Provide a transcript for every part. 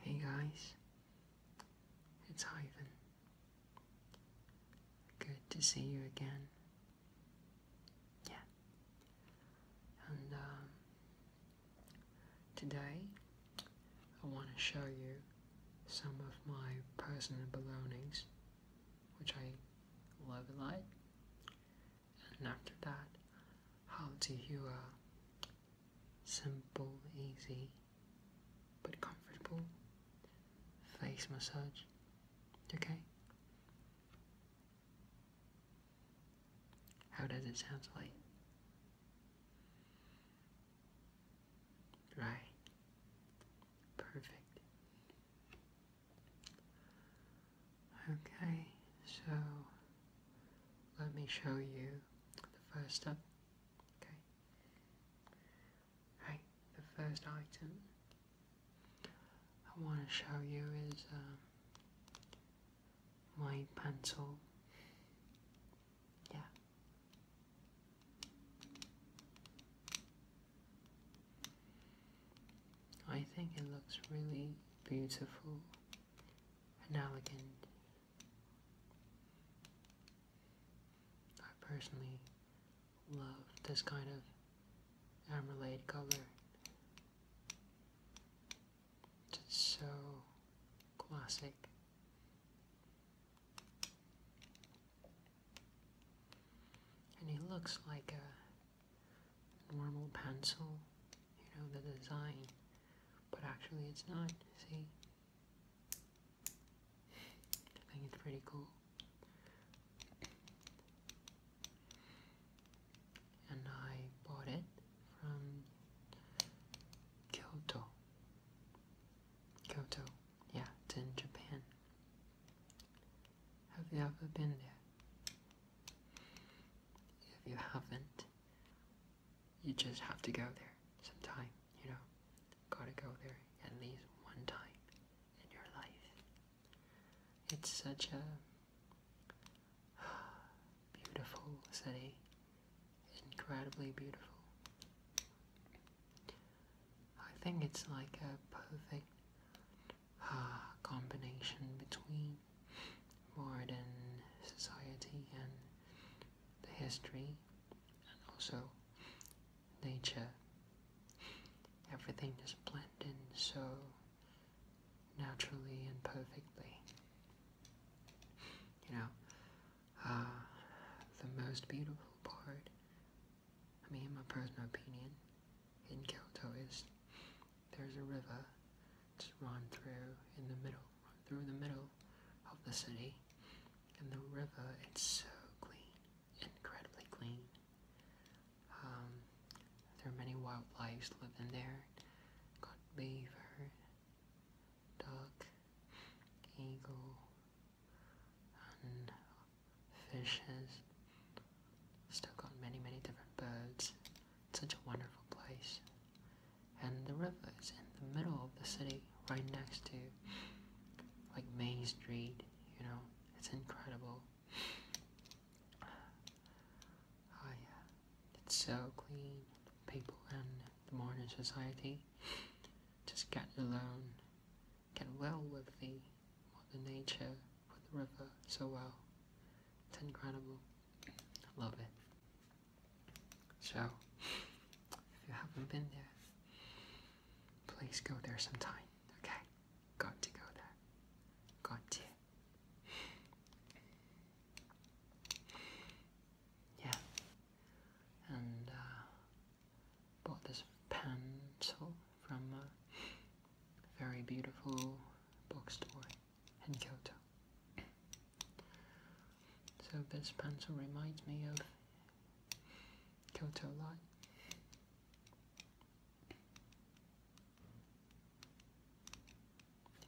Hey guys, it's Ivan. Good to see you again. Yeah. And um, today I want to show you some of my personal belongings, which I love a lot and after that, how do you uh, simple, easy, but comfortable face massage? Okay. How does it sound like? Right. Perfect. Okay, so let me show you the first step. Okay. Right, the first item I want to show you is um, my pencil. Yeah. I think it looks really beautiful and elegant. I personally love this kind of emerald color. It's so classic. And he looks like a normal pencil, you know, the design, but actually it's not, see? I think it's pretty cool. And I bought it from Kyoto. Kyoto, yeah, it's in Japan. Have you ever been there? If you haven't, you just have to go there sometime, you know? Gotta go there at least one time in your life. It's such a beautiful city, incredibly beautiful. I think it's like a perfect uh, combination between modern society and the history and also nature. Everything is blended so naturally and perfectly. You know, uh, the most beautiful part, I mean, my personal opinion, in Kyoto is there's a river that's run through in the middle, through the middle of the city, and the river it's so clean, incredibly clean. Um, there are many wild lives living there. Got beaver, duck, eagle, and fishes, still got many, many different birds. It's such a wonderful place. And the river is in the middle of the city, right next to like Main Street, you know. It's incredible. Oh yeah. It's so clean. People in the modern society just get alone, get well with the the Nature put the river so well. It's incredible. I love it. So, if you haven't been there, please go there sometime, okay? Got to go there. Got to. Yeah. And uh, bought this pencil from uh, very beautiful bookstore in Kyoto. So this pencil reminds me of Kyoto Light.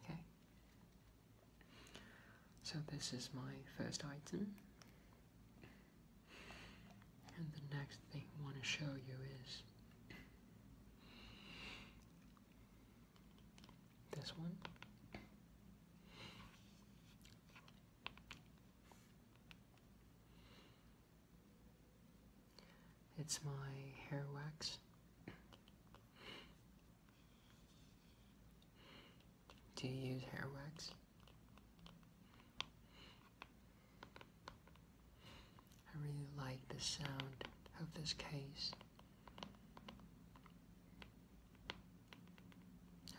Okay. So this is my first item. And the next thing I want to show you is this one. It's my hair wax. Do you use hair wax? I really like the sound of this case.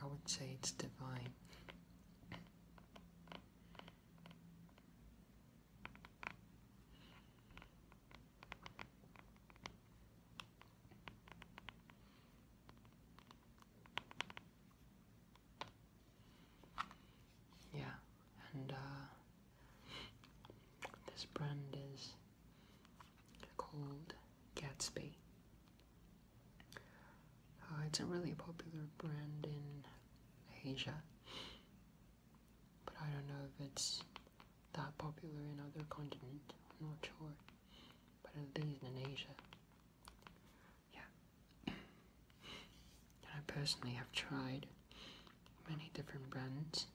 I would say it's divine. Yeah, and uh, this brand is called Gatsby. Uh, it's a really popular brand in Asia, but I don't know if it's that popular in other continent. I'm not sure, but at least in Asia, yeah. and I personally have tried many different brands,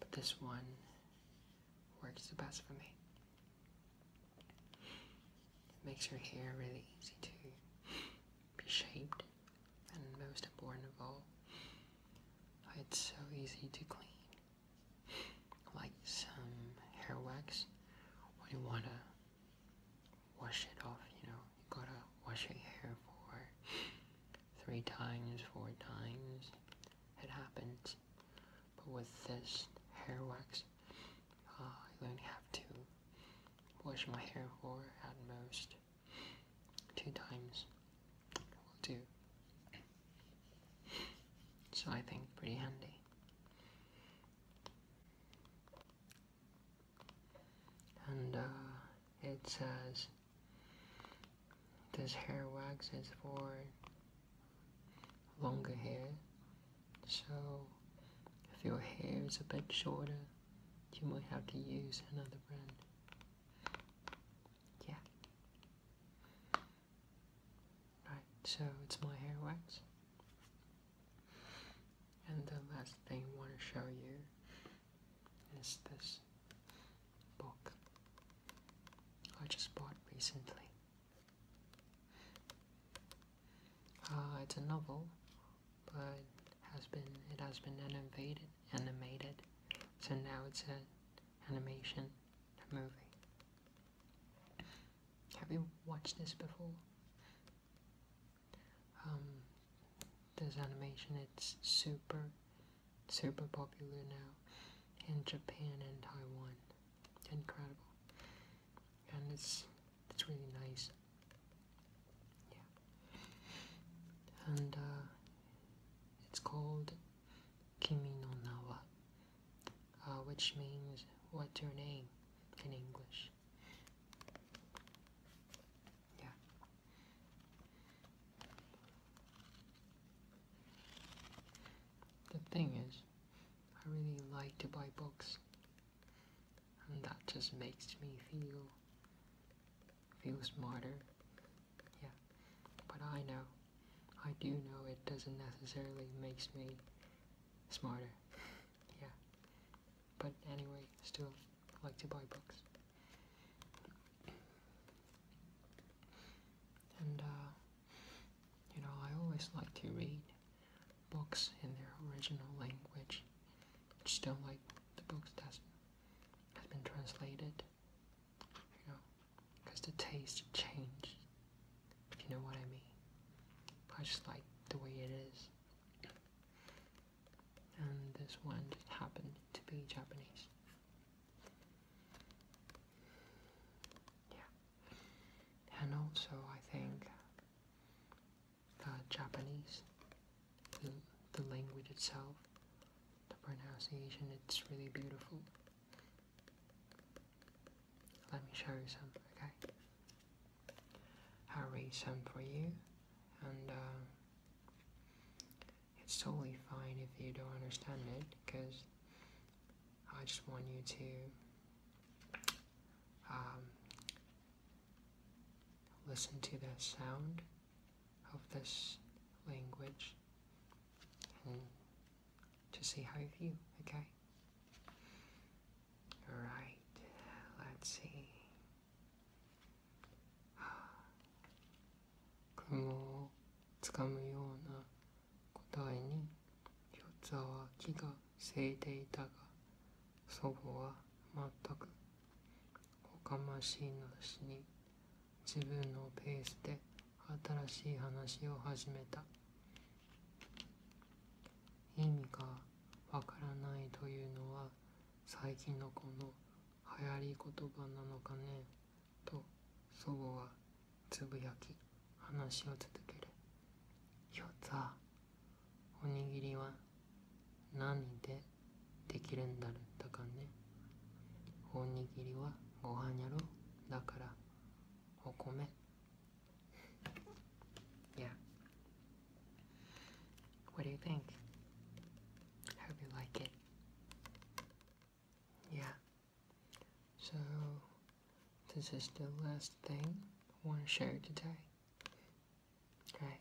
but this one works the best for me. It makes your hair really easy to be shaped, and most important of all, it's so easy to clean. Like some hair wax, when you wanna wash it off, you know. You gotta wash your hair for three times, four times. It happens. But with this hair wax, uh, I only have to wash my hair for at most two times. Will do. So I think pretty handy and uh, it says this hair wax is for longer hair so if your hair is a bit shorter you might have to use another brand yeah right so it's my hair wax and the last thing I want to show you is this book I just bought recently. Uh, it's a novel, but has been it has been animated animated, so now it's an animation movie. Have you watched this before? Um, this animation it's super, super popular now in Japan and Taiwan. Incredible, and it's it's really nice. Yeah, and uh, it's called Kimi no Nawa, uh, which means "What's your name?" in English. Yeah. The thing is, I really like to buy books, and that just makes me feel feel smarter. Yeah, but I know, I do know it doesn't necessarily makes me smarter. yeah, but anyway, still like to buy books. And uh, you know, I always like to read books in their original language. I just like the books that has been translated. You know, because the taste changed. If you know what I mean. I just like the way it is and this one happened to be Japanese. Yeah, and also I think the Japanese, the language itself, the pronunciation, it's really beautiful. Let me show you some, okay? I'll read some for you, and um, it's totally fine if you don't understand it, because I just want you to um, listen to the sound of this language to see how you feel, okay? r i をつかむような答えに四つは木がせいていたが祖母は全くおかましいなしに自分のペースで新しい話を始めた意味がわからないというのは最近のこの流行り言葉なのかねと祖母はつぶやき話を続けるひょざおにぎりは何でできるんだろうだかねおにぎりはご飯やろだからお米 Yeah. What do you think? I hope you like it. Yeah. So, this is the last thing I want to share today. Right.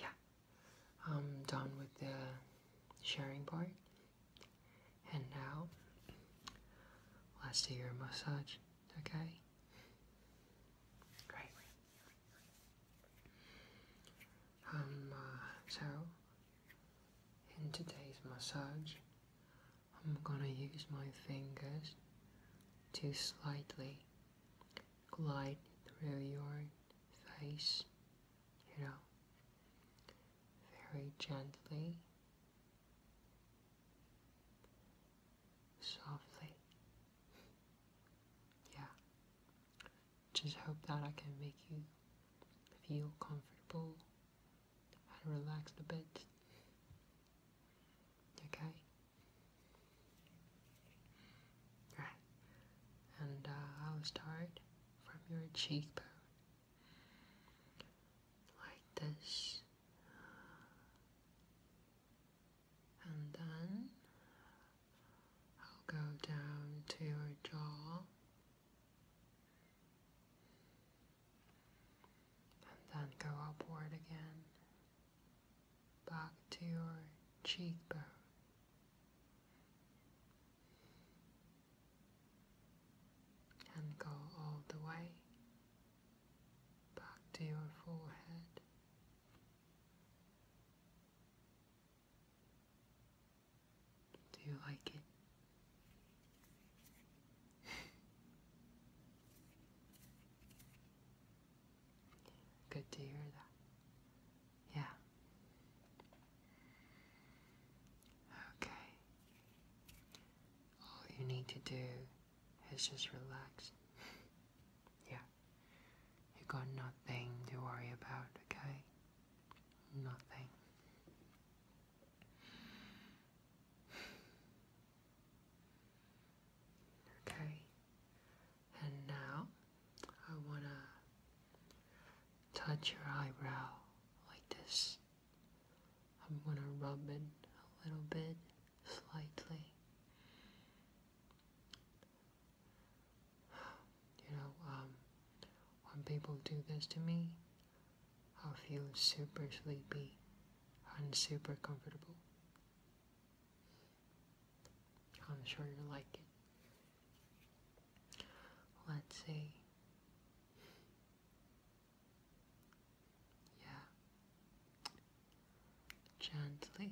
Yeah. I'm done with the sharing part. And now, let's do your massage, okay? Great. Um, uh, so, in today's massage, I'm gonna use my fingers to slightly glide through your face, you know, very gently softly. yeah. Just hope that I can make you feel comfortable and relaxed a bit. Okay? Right. And uh, I'll start from your cheekbone like this and then I'll go down to your jaw and then go upward again back to your cheekbone and go all the way back to your forehead. Do you like it? Good to hear that. Yeah. Okay. All you need to do is just relax. yeah. You got nothing to worry about, okay? Nothing. Okay. And now I want to touch your eyebrow like this. I'm going to rub it a little bit, slightly. You know, um, when people do this to me, I feel super sleepy and super comfortable. I'm sure you'll like it. Let's see. Yeah. Gently,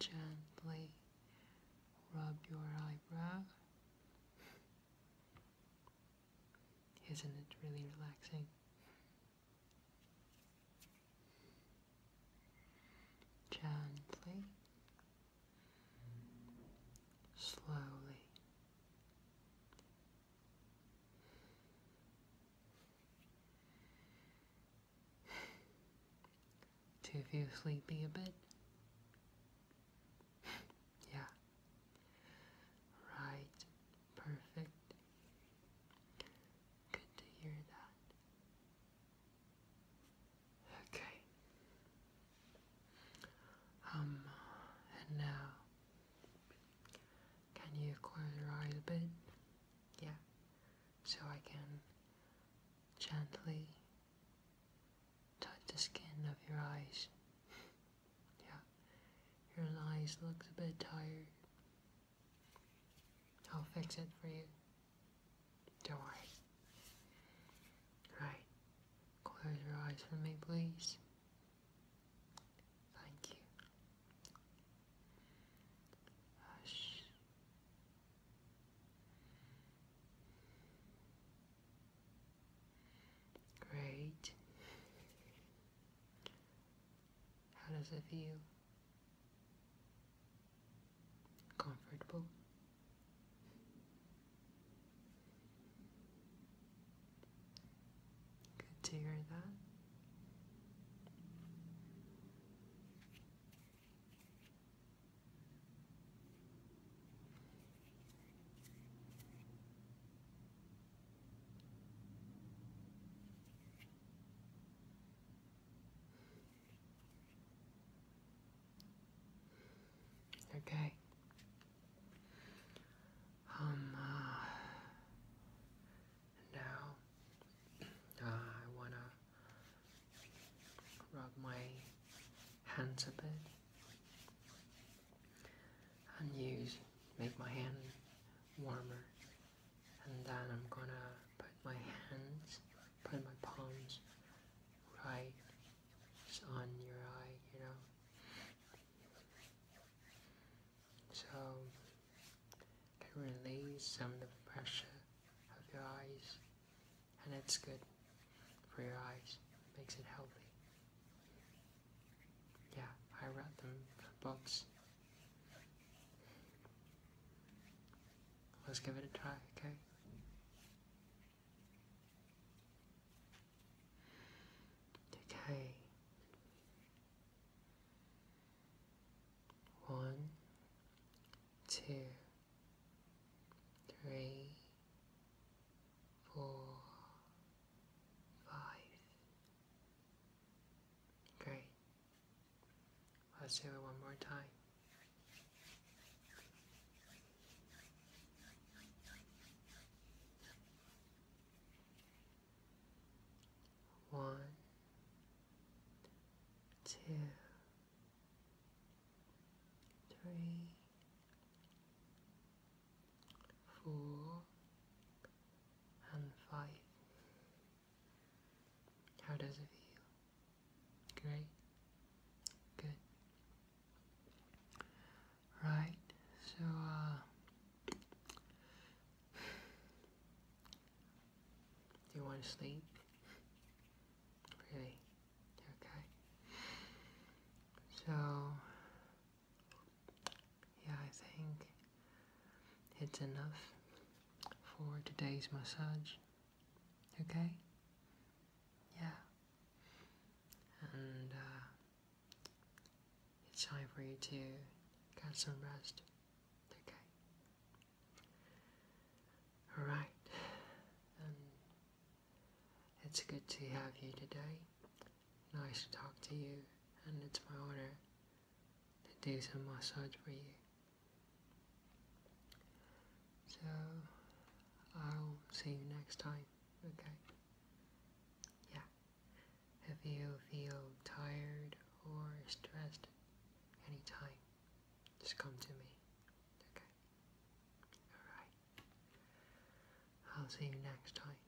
gently rub your eyebrow. Isn't it really relaxing? Gently, slowly. Do you feel sleepy a bit? yeah. Right. Perfect. Good to hear that. Okay. Um, and now, can you close your eyes a bit? Yeah. So I can gently touch the skin of your eyes. yeah. Your eyes look a bit tired. I'll fix it for you. Don't worry. Right. Close your eyes for me, please. Thank you. Hush. Great. How does it feel? Comfortable? Good to hear that. Okay. Um, uh, now uh, I wanna rub my hands a bit and use make my hand warmer and then I'm gonna put my hands put my palms right on your eye, you know. So it can release some of the pressure of your eyes and it's good for your eyes. makes it healthy. Yeah, I read them books. Let's give it a try, okay? Okay. One, two, three, four, five. Great. Let's do it one more time. One, two, three, four, and five. How does it feel? Great. Good. Right. So, uh, do you want to sleep? Really? Okay. So, yeah, I think it's enough for today's massage. Okay? Yeah. And uh, it's time for you to get some rest. Okay? Alright. Um, it's good to have you today. Nice to talk to you, and it's my honor to do some massage for you. So I'll see you next time, okay? Yeah. If you feel tired or stressed anytime, just come to me, okay? Alright. I'll see you next time.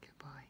Goodbye.